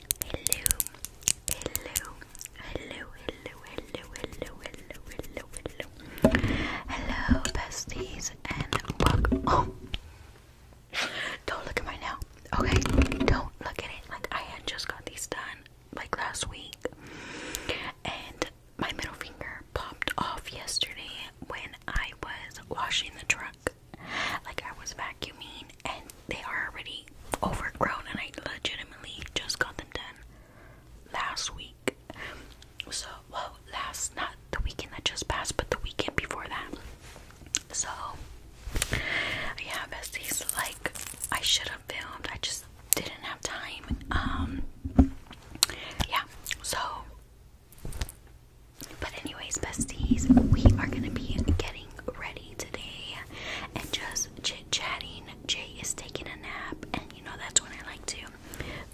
Hello, hello, hello, hello, hello, hello, hello, hello, hello, hello, besties, and welcome. don't look at my now. Okay, don't look at it. Like I had just got these done like last week, and my middle finger popped off yesterday when I was washing the truck like I was vacuuming and they are already overgrown and I legitimately just got them done last week. So well last not the weekend that just passed but the weekend before that. So yeah besties like I should have filmed I just didn't have time. Um yeah so but anyways besties we are gonna be getting ready today and just chit chatting. Jay is taking a nap, and you know that's when I like to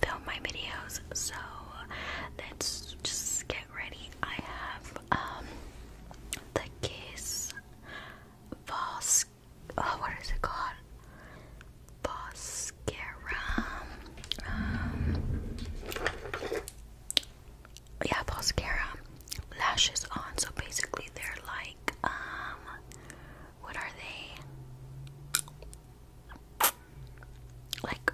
film my videos. So let's just get ready. I have um the Kiss Vos. Oh, what is it called? Boscara yeah, mascara, lashes on. So basically, they're like, um, what are they? Like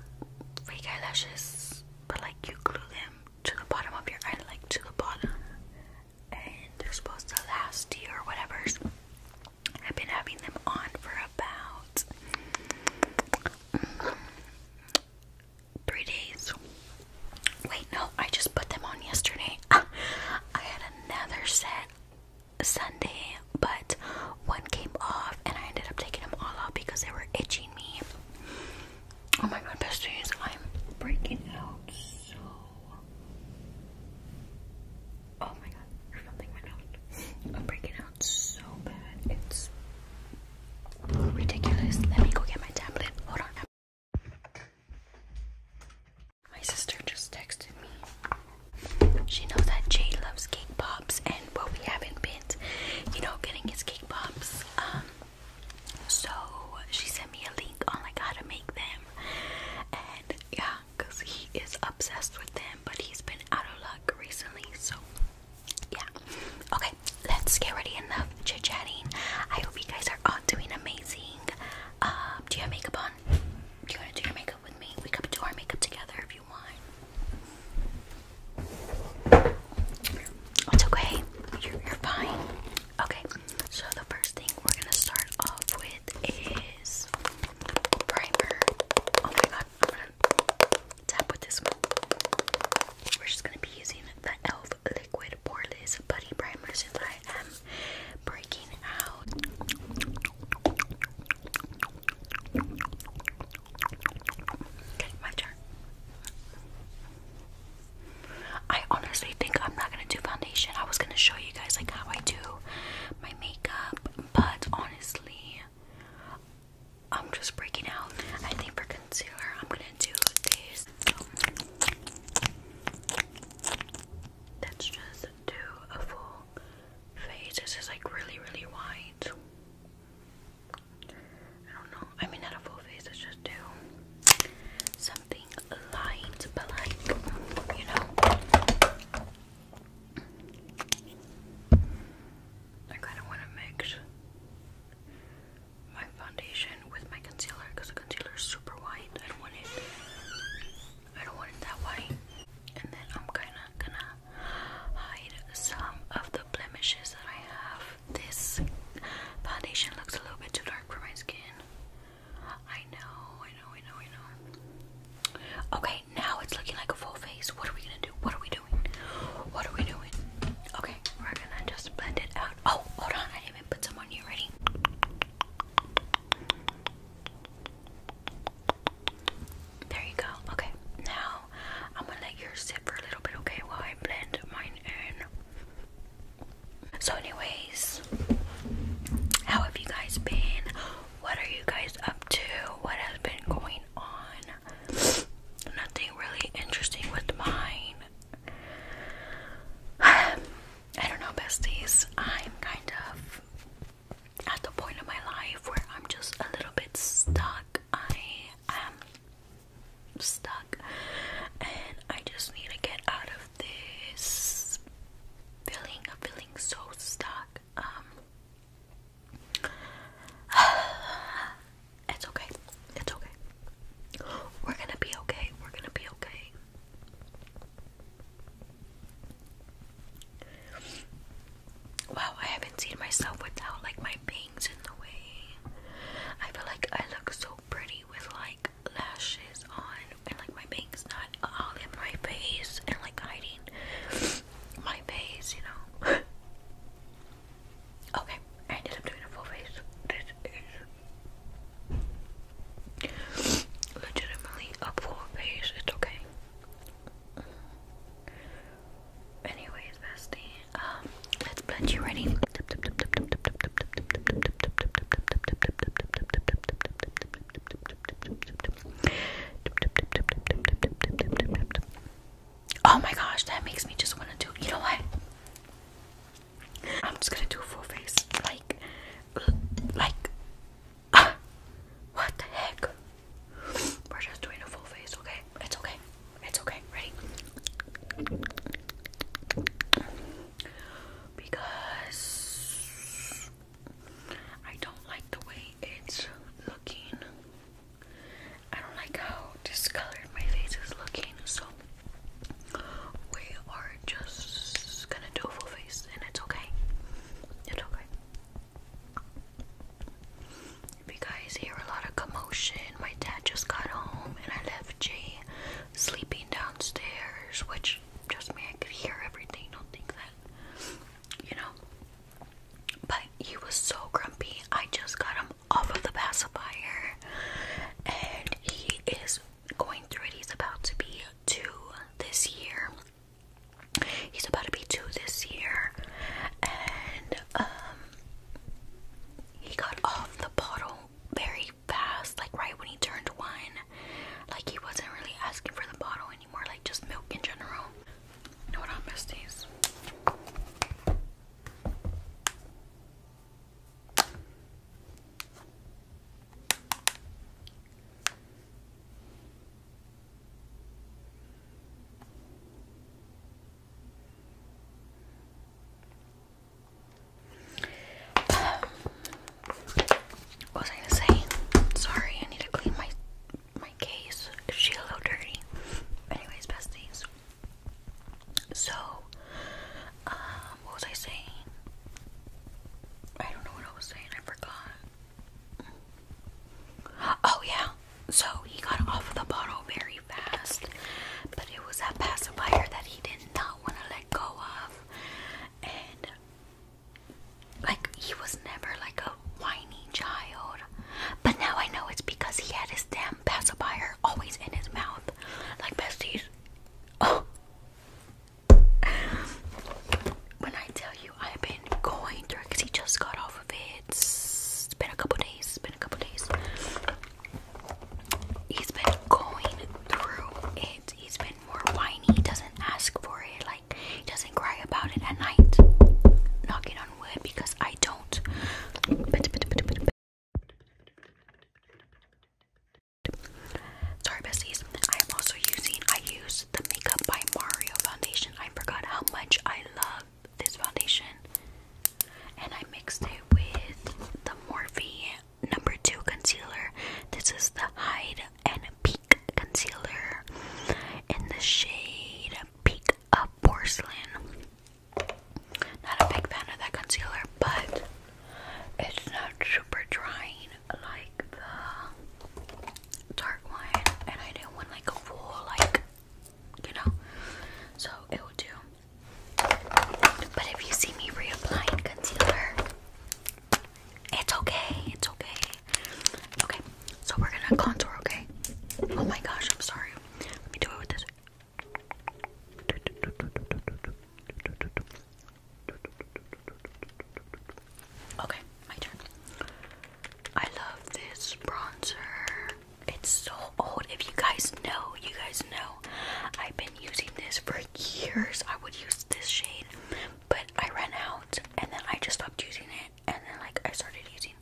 fake eyelashes, but like you glue them to the bottom of your eye, like to the bottom, and they're supposed to last you or whatever. I've been having them on for about. Mm, three days. Wait, no, I just put them on yesterday. I had another set Sunday, but one came off, and I ended up taking them all out because they were itching me. Oh my god, besties, I'm breaking out so. Oh my god, there's something right now. I'm breaking out so bad. It's ridiculous. Let me go get my tablet. Hold on. My sister just texted me. She knows that Jay loves cake pops and well, we haven't been, you know, getting his cake pops. Um so she sent me a link on like how to make them. And yeah, because he is obsessed with them, but he's been out of luck recently, so yeah. Okay, let's get ready enough chit chatting. I hope you guys are all doing amazing. Um, do you have makeup on? Do you want to do your makeup with me? We could do our makeup together if you want. It's okay. You're, fine. Okay, so the first thing we're gonna start off with is primer. Oh my god, tap with this one. We're just gonna be using the e.l.f. Liquid Poreless Putty Primer since I am breaking out. Okay, my turn. I honestly think I'm not gonna do foundation. I was gonna show you guys like how I do my makeup, but honestly, I'm just breaking out. I think for concealer, I'm gonna do this Let's just do a full face. This is like really, really wide. I don't know. I mean, not a full face. Let's just do something light, but you know. I kind of want to mix my foundation with my concealer because the concealer is super white. I don't want it. I don't want it that white. And then I'm kinda gonna hide some of the blemishes that I have. This foundation looks a little bit too dark for my skin. I know, I know, I know, I know. Okay, now it's looking like a full face. What are we gonna do? What are we doing? What are we doing? Okay, we're gonna just blend it out. Oh, hold on, I didn't even put some on you. Ready? There you go. Okay, now I'm gonna let yours sit for a little bit, okay, while I blend mine in. So, anyways, how have you guys been? What are you guys up to? What has been going on? Nothing really interesting with mine. I don't know, besties. I'm kind of at the point of my life where I'm just a little bit stuck. I am stuck, and I just need to get out of this feeling of feeling so stuck. Um, It's okay. It's okay. We're gonna be okay. We're gonna be okay. Wow, I haven't seen myself without like my bangs in the way. I feel like I look so pretty with like lashes on and like my bangs not all in my face and like hiding my face, you know. Okay, I ended up doing a full face. This is legitimately a full face. It's okay. Anyways, bestie, um, let's blend you ready. Oh my gosh, that makes me just want to do. You know what? I'm just gonna do a full face, like, like. Uh, what the heck? We're just doing a full face, okay? It's okay. It's okay. Ready? Because I don't like the way it's looking. I don't like how discolored my face is looking, so we are just gonna do a full face, and it's okay. It's okay. If you guys hear a lot of commotion, my dad just got home, and I left Jay sleeping downstairs, which just me, I could hear everything. Don't think that, you know. But he was so grumpy. I just got him um, off of the pacifier, and he is going through it. He's about to be two this year. He's about to be two this year, and um, he got off the bottle very fast, like right when he turned one. Like he wasn't really asking for the bottle anymore, like just milk in general. You know what? Um, what was I gonna say? Sorry, I need to clean my my case. She's a little dirty. Anyways, besties. So, um, what was I saying? I don't know what I was saying, I forgot. Oh, yeah, so he got off the bottle very fast, but it was that pacifier that he did not want to let go of, and like he was never like a whiny child, but now I know it's because he had his damn pacifier always in his mouth. Like besties. Oh. When I tell you I've been going through because he just got off of it. It's been a couple days. It's been a couple days. He's been going through it. He's been more whiny. He doesn't ask for it. Like he doesn't cry about it at night. Knocking on wood because I don't. Sorry, besties. I am also using, I use the Makeup by Mario foundation. I forgot how much I love this foundation. And I mixed it with the Morphe number two concealer. This is the Hide and Peek concealer in the shade Peek of Porcelain. Not a big fan of that concealer, but it's not super drying like the dark one. And I didn't want like a full, like, you know, so it would do. But if you see me reapplying concealer, it's okay, it's okay. Okay, so we're gonna contour, okay? Oh my gosh, I'm sorry. Let me do it with this. Okay, my turn. I love this bronzer. It's so old. If you guys know, you guys know. I've been using this for years. I would use this shade, but I ran out and then I just stopped using it and then like I started using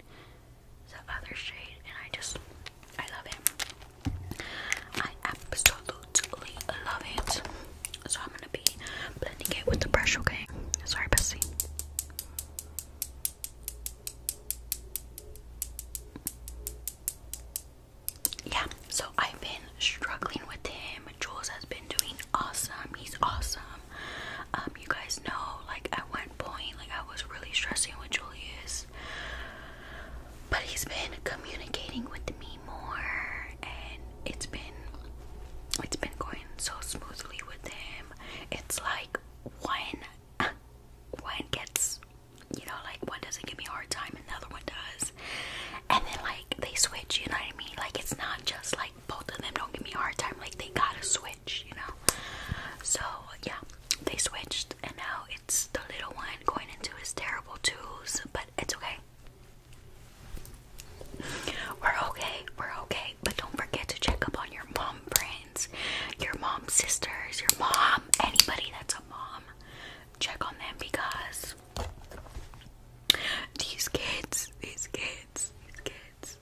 the other shade, and I just, I love it. I absolutely love it. So I'm gonna be blending it with the brush, okay? Sorry, Bessie. Yeah, so I've been struggling with him. Jules has been doing awesome. He's awesome. Um, you guys know, like at one point, like I was really stressing with Julius but he's been communicating with me more and it's been it's been going so smoothly with him. It's like one one gets you know, like one doesn't give me a hard time and the other one does. And then like they switch, you know what I mean? Like it's not just like both of them don't give me a hard time, like they gotta switch, you know. So yeah, they switched and now it's the little one going into his terrible twos, but it's okay. We're okay, we're okay, but don't forget to check up on your mom friends, your mom sisters, your mom, anybody that's a mom. Check on them because these kids, these kids, these kids,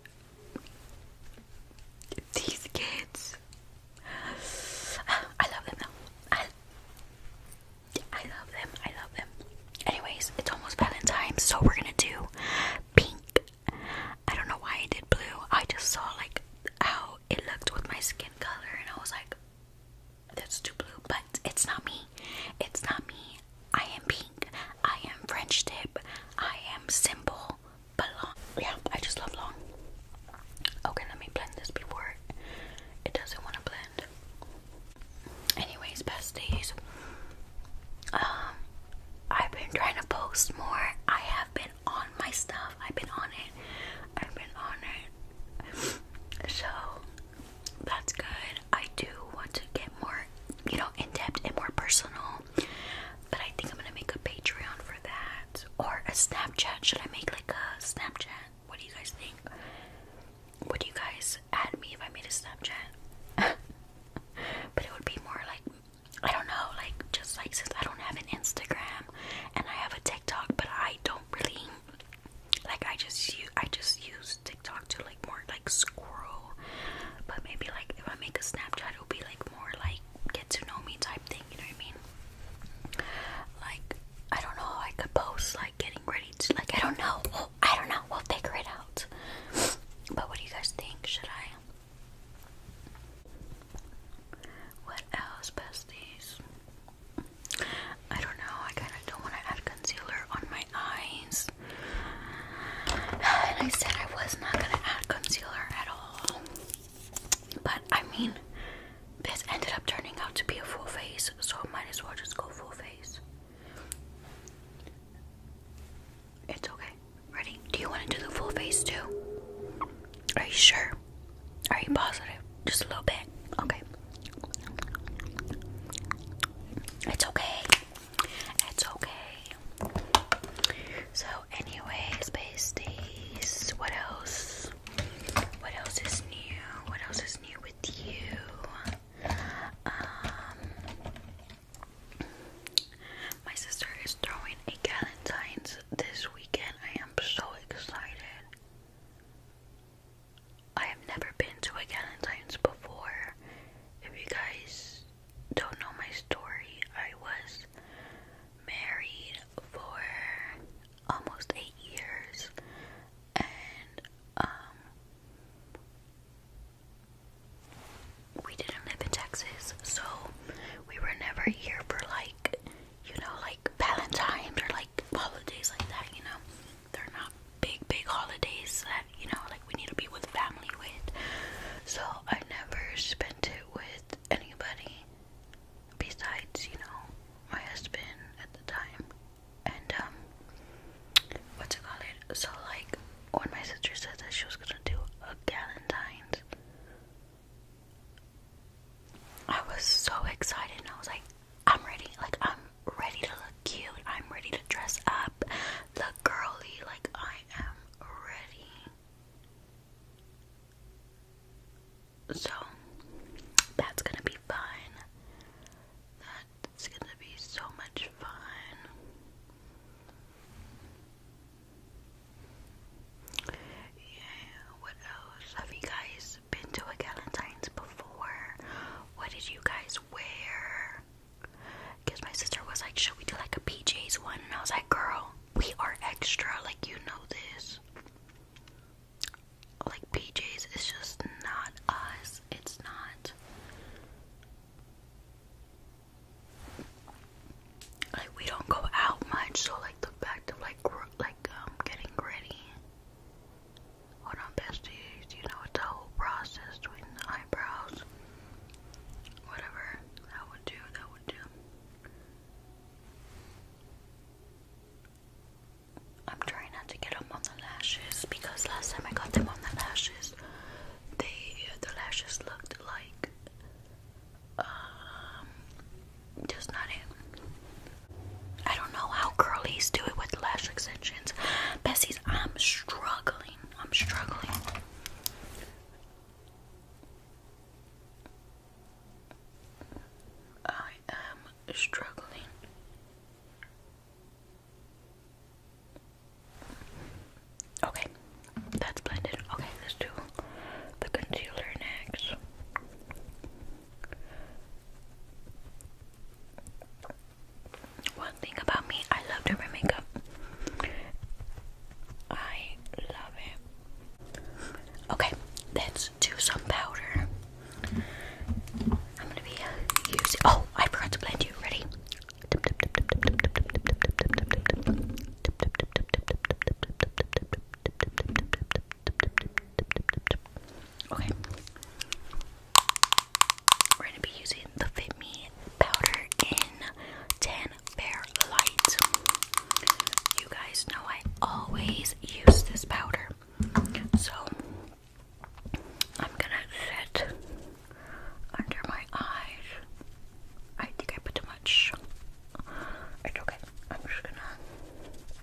these kids. I love them now. I love them. I love them. Anyways, it's almost Valentine's, so we're gonna do pink. I don't know why I did blue. I just saw like how it looked with my skin color, and I was like, that's too blue. But it's not me. It's not me. I am pink. I am French tip. I am simple but long. Yeah, I just love long. Okay, let me blend this before it doesn't want to blend. Anyways, besties, um, I've been trying to post more. I have been on my stuff. I've been on it. I've been on it. So that's good. I do want to get more, you know, in depth and more personal but I think I'm gonna make a Patreon for that. Or a Snapchat. Should I make like a Snapchat? What do you guys think? Would you guys add me if I made a Snapchat? but it would be more like I don't know, like just like since I don't have an Instagram and I have a TikTok, but I don't really like I just use I just use TikTok to like more like scroll. But maybe like if I make a Snapchat, it'll be like more like get to know me type thing, you know what I mean? Like, I don't know how I could post like getting ready to like I don't know. I don't know. We'll figure it out. But what do you guys think? Should I? What else, besties? I don't know. I kind of don't want to add concealer on my eyes. And I said I was not gonna add concealer at all. But I mean, this ended up turning out to be a full face, so I might as well just go full face. It's okay. Ready? Do you want to do the full face too? Are you sure? Are you positive? Just a little bit. Okay. It's okay. It's okay. So anyways, pasties, what else? What else is new? What else is new with you? Um, my sister is throwing a Galentine's this weekend. I am so excited. I have never been to a Galentine's before. If you guys don't know my story, I was married for almost eight years, and um, we didn't live in Texas, so we were never here for like, you know, like Valentine's or like holidays like that. You know, they're not big, big holidays that you know, like we need to be with family with. So I never spent it with anybody besides, you know, my husband at the time. And, um, what's it call It? So, like, when my sister said that she was gonna do a Galentine's, I was so excited I was like, I'm ready. Like, I'm ready to look cute. I'm ready to dress up, look girly. Like, I am ready. So that's gonna be fun. That's gonna be so much fun. Yeah, what else? Have you guys been to a Galentine's before? What did you guys wear? Because my sister was like, Should we do like a PJs one? And I was like, Girl, we are extra, like you know this. Like PJs, it's just not us. It's not. Like we don't go out much, so like the fact of like like um getting ready. Hold on, besties. You know it's a whole process doing the eyebrows. Whatever that would do, that would do. I'm trying not to get them on the lashes because last time I got them on the lashes, they the lashes looked like um just not it. I don't know how curlies do it with lash extensions. Bessie's, I'm struggling. I'm struggling. I am struggling. Okay, that's blended. Okay, let's do the concealer next. One thing about me, I love to makeup. I love it. Okay, let's do some powder. I'm gonna be uh, using. Oh, I forgot to blend you. Ready? Okay. We're gonna be using the Fit Me powder in 10, Bare Light. You guys know I always use this powder. So I'm gonna set under my eyes. I think I put too much. It's okay. I'm just gonna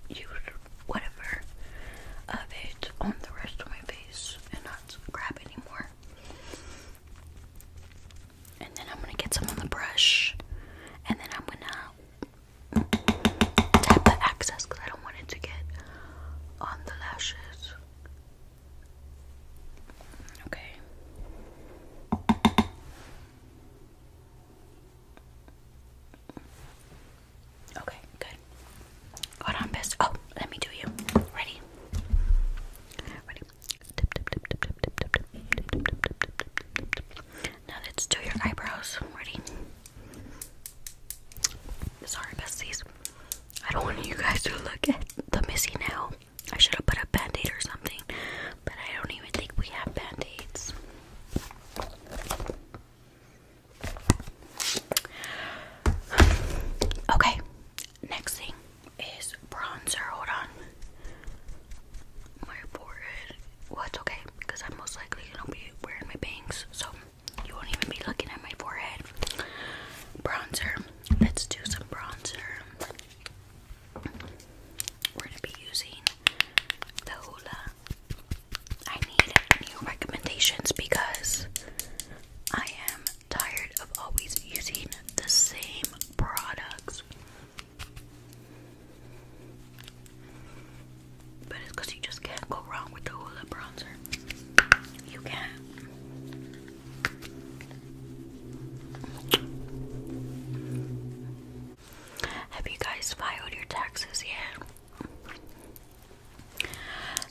use whatever of it on the rest of my face and not grab anymore. And then I'm gonna get some on the brush, and then I'm gonna tap the excess because I don't want it to get on the lashes. Okay. Okay, good. Hold on, best. Oh, let me do you. Ready? Ready? Now let's do your eyebrows. Ready? Sorry, besties. I don't want you guys to look at the missing nail. I should have put a band aid or something, but I don't even think we have band aids. Okay, next thing is bronzer. Hold on. My forehead. Well, okay because I'm most likely gonna be wearing my bangs, so you won't even be looking at my forehead. Bronzer. Let's do some bronzer. We're gonna be using the Hoola. I need new recommendations because I am tired of always using the same products. But it's you just can't go wrong with the Hoola bronzer. You can Have you guys filed your taxes yet?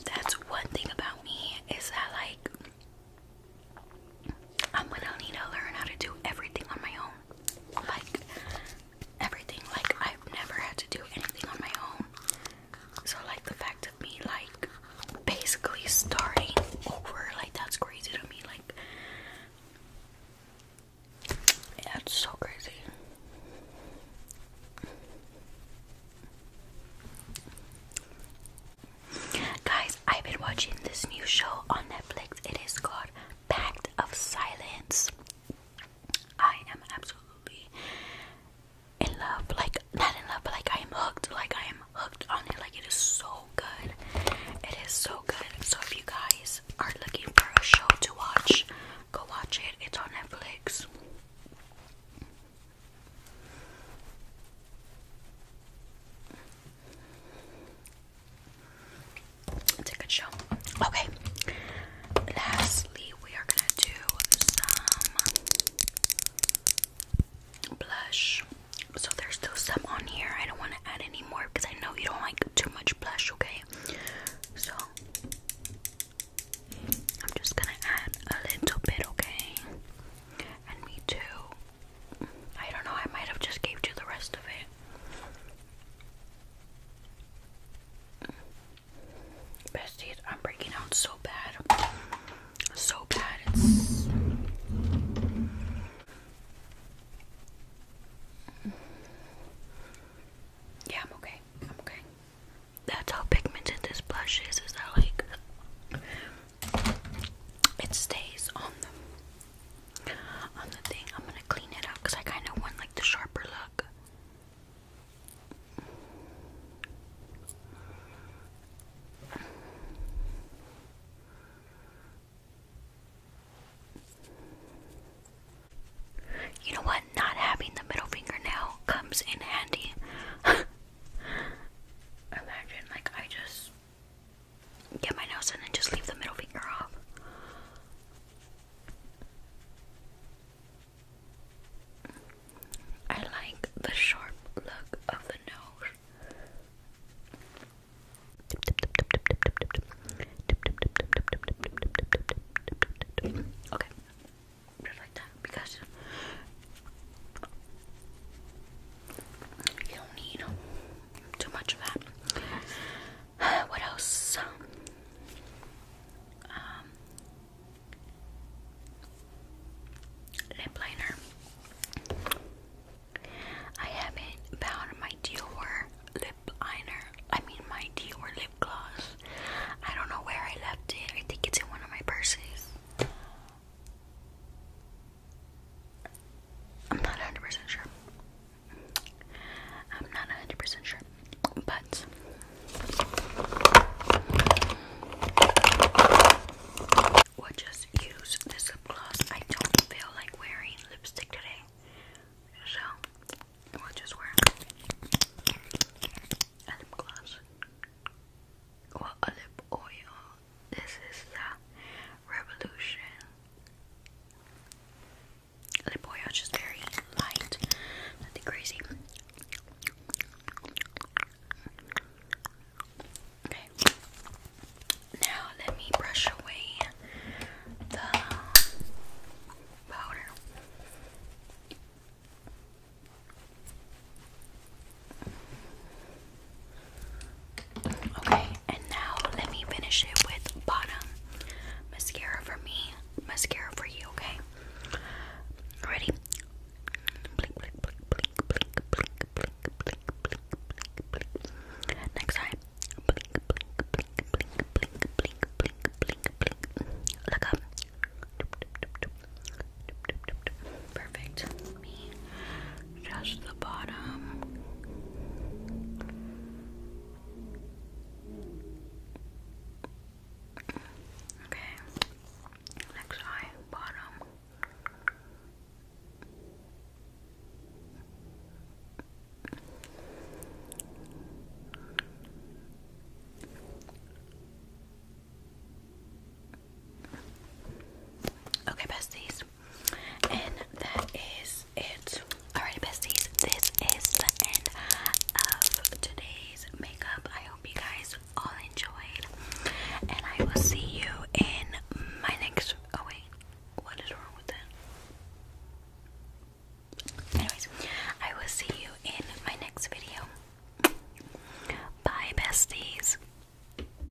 That's one thing about me is that like I'm gonna need to learn how to do everything on my own. Like, everything. Like, I've never had to do anything on my own. So, like, the fact of me, like, basically starting over, like, that's crazy to me. Like, yeah, it's so crazy. Guys, I've been watching this new show on Netflix. It is called Pact of Silence. I am absolutely in love. Like, not in love, but like I am hooked. Like, I am hooked on it. Like, it is so good. It is so good. So, if you guys are looking for a show to watch, go watch it. It's on Netflix. It's a good show. Okay. Lastly, we are gonna do some blush. So there's still some on here. I don't want to add any more because I know you don't like too much blush. Okay. So I'm just gonna add a little bit. Okay. And me too. I don't know, I might have just gave you the rest of it. Besties, I'm breaking out so bad. So bad, it's yeah, I'm okay. I'm okay. That's how pigmented this blush is. Is that like it stays on the on the thing. I'm gonna clean it up because I kind of want like the sharper look. You know what? Not having the middle fingernail comes in handy. Imagine, like, I just get my nose in and just leave the middle finger off. I like the sharp look of the nose. Okay, just like that because you don't need too much of that. what else? Um, lip liner. I haven't found my Dior lip liner. I mean my Dior lip gloss. I don't know where I left it. I think it's in one of my purses. I'm not 100% sure. I'm not 100% sure. But we'll just use this lip gloss. I don't feel like wearing lipstick today. So we'll just wear lip gloss. Or a lip oil this is the revolution. The brioche is very light, nothing crazy. Okay, now let me brush away the powder. Okay, and now let me finish it with bottom mascara for me, mascara for you, okay? Ready? Blink, blink, blink, blink, blink, blink, blink, blink, blink, blink, blink. Next time. Blink, blink, blink, blink, blink, blink, blink, blink, blink. Look up. Perfect. me just the bottom. Okay, next eye, bottom. Okay, besties. And that is it. Alright, besties, this is the end of today's makeup. I hope you guys all enjoyed. And I will see you in my next. Oh, wait. What is wrong with that? Anyways, I will see you in my next video. Bye, besties.